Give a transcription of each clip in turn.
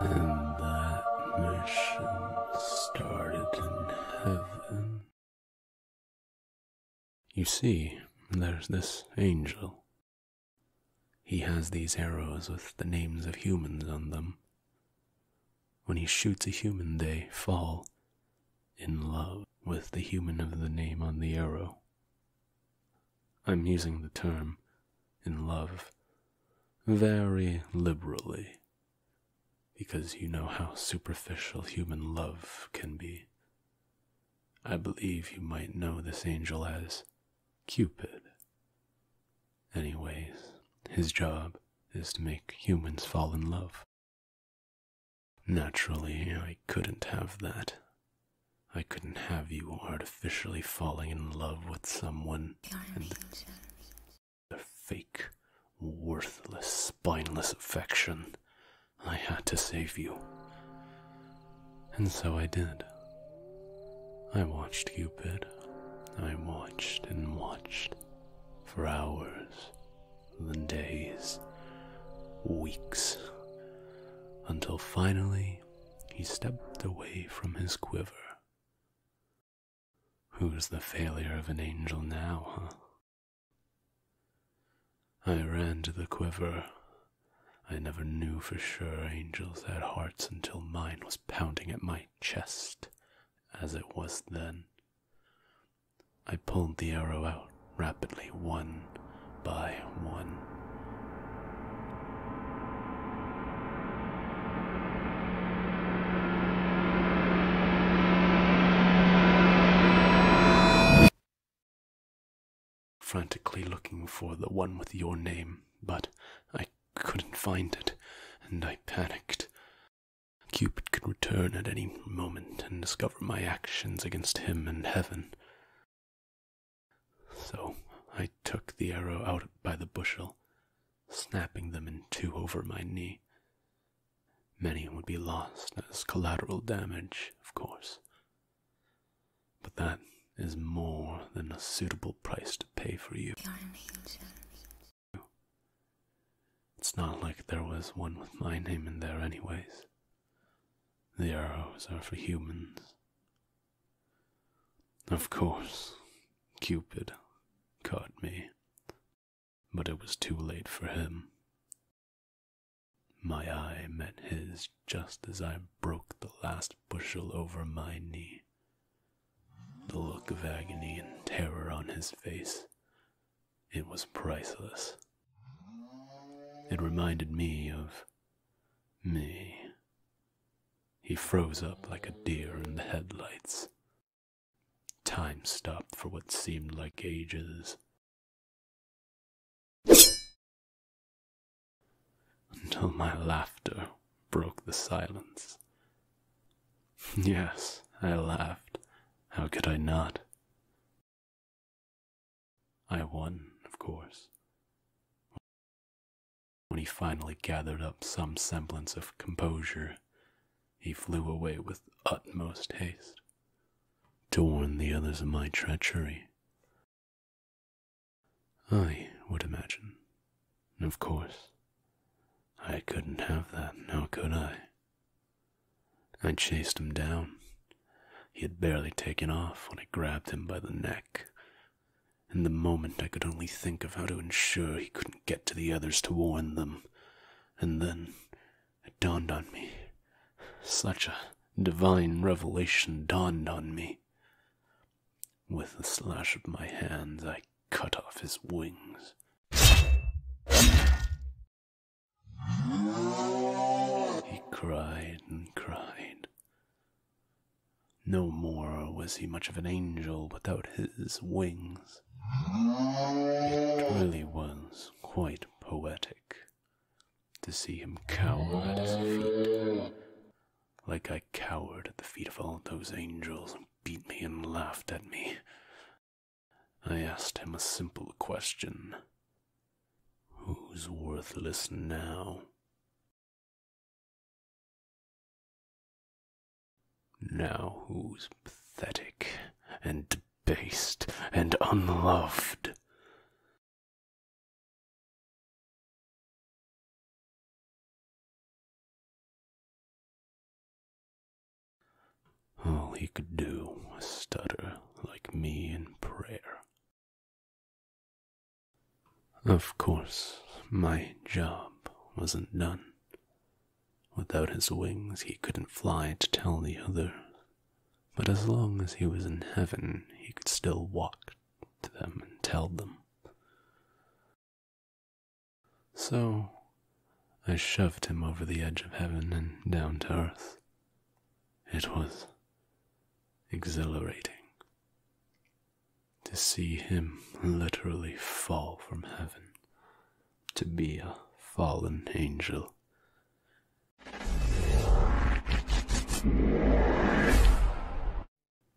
And that mission started in heaven. You see, there's this angel. He has these arrows with the names of humans on them. When he shoots a human, they fall in love with the human of the name on the arrow. I'm using the term in love very liberally because you know how superficial human love can be. I believe you might know this angel as Cupid. Anyways, his job is to make humans fall in love. Naturally, I couldn't have that. I couldn't have you artificially falling in love with someone and the fake, worthless, spineless affection. I had to save you. And so I did. I watched Cupid. I watched and watched for hours, then days, weeks, until finally he stepped away from his quiver. Who's the failure of an angel now, huh? I ran to the quiver. I never knew for sure angels had hearts until mine was pounding at my chest, as it was then. I pulled the arrow out rapidly, one by one frantically looking for the one with your name, but I couldn't find it, and I panicked. Cupid could return at any moment and discover my actions against him and heaven. So I took the arrow out by the bushel, snapping them in two over my knee. Many would be lost as collateral damage, of course, but that is more than a suitable price to pay for you. It's not like there was one with my name in there, anyways. The arrows are for humans. Of course, Cupid caught me, but it was too late for him. My eye met his just as I broke the last bushel over my knee. The look of agony and terror on his face, it was priceless. It reminded me of me. He froze up like a deer in the headlights. Time stopped for what seemed like ages until my laughter broke the silence. Yes, I laughed. How could I not? I won, of course. When he finally gathered up some semblance of composure, he flew away with utmost haste to warn the others of my treachery. I would imagine. Of course. I couldn't have that, how could I? I chased him down. He had barely taken off when I grabbed him by the neck. In the moment, I could only think of how to ensure he couldn't get to the others to warn them, and then it dawned on me. Such a divine revelation dawned on me. With a slash of my hands, I cut off his wings. He cried and cried. No more was he much of an angel without his wings. It really was quite poetic to see him cower at his feet, like I cowered at the feet of all those angels who beat me and laughed at me. I asked him a simple question Who's worthless now? Now, who's pathetic and debased and unloved. All he could do was stutter like me in prayer. Of course, my job wasn't done. Without his wings, he couldn't fly to tell the others, but as long as he was in heaven, he could still walk to them and tell them. So I shoved him over the edge of heaven and down to earth. It was exhilarating to see him literally fall from heaven to be a fallen angel.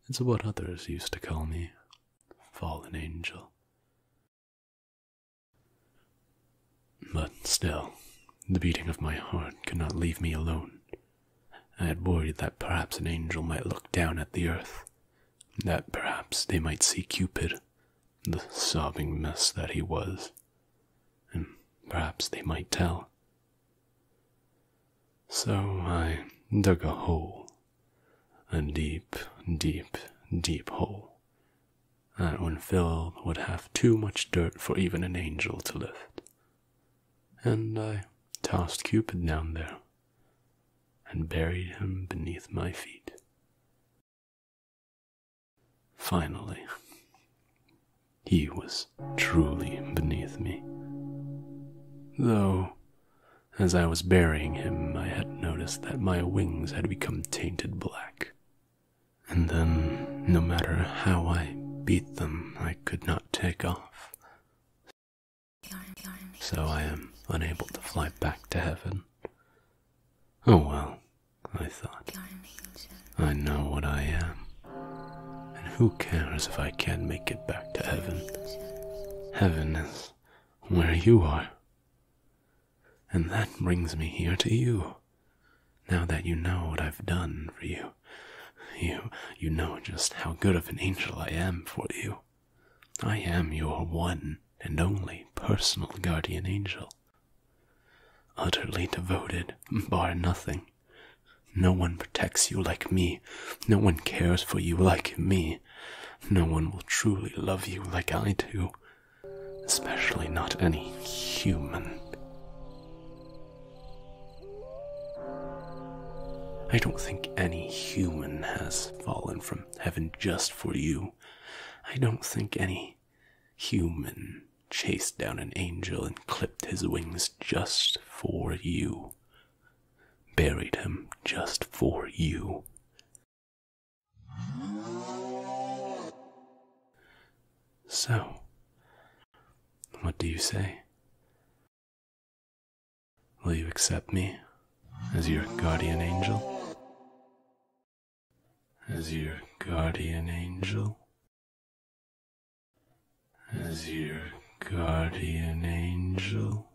It's what others used to call me fallen angel. But still, the beating of my heart could not leave me alone. I had worried that perhaps an angel might look down at the earth, that perhaps they might see Cupid the sobbing mess that he was, and perhaps they might tell. So I dug a hole, a deep, deep, deep hole. That when filled would have too much dirt for even an angel to lift. And I tossed Cupid down there and buried him beneath my feet. Finally, he was truly beneath me. Though, as I was burying him, I had noticed that my wings had become tainted black. And then, no matter how I beat them, I could not take off, so I am unable to fly back to heaven. Oh well, I thought. I know what I am. And who cares if I can't make it back to heaven? Heaven is where you are. And that brings me here to you. Now that you know what I've done for you, you you know just how good of an angel I am for you. I am your one and only personal guardian angel. Utterly devoted, bar nothing. No one protects you like me. No one cares for you like me. No one will truly love you like I do. Especially not any human. I don't think any human has fallen from heaven just for you. I don't think any human chased down an angel and clipped his wings just for you. Buried him just for you. So, what do you say? Will you accept me as your guardian angel? As your guardian angel? As your guardian angel?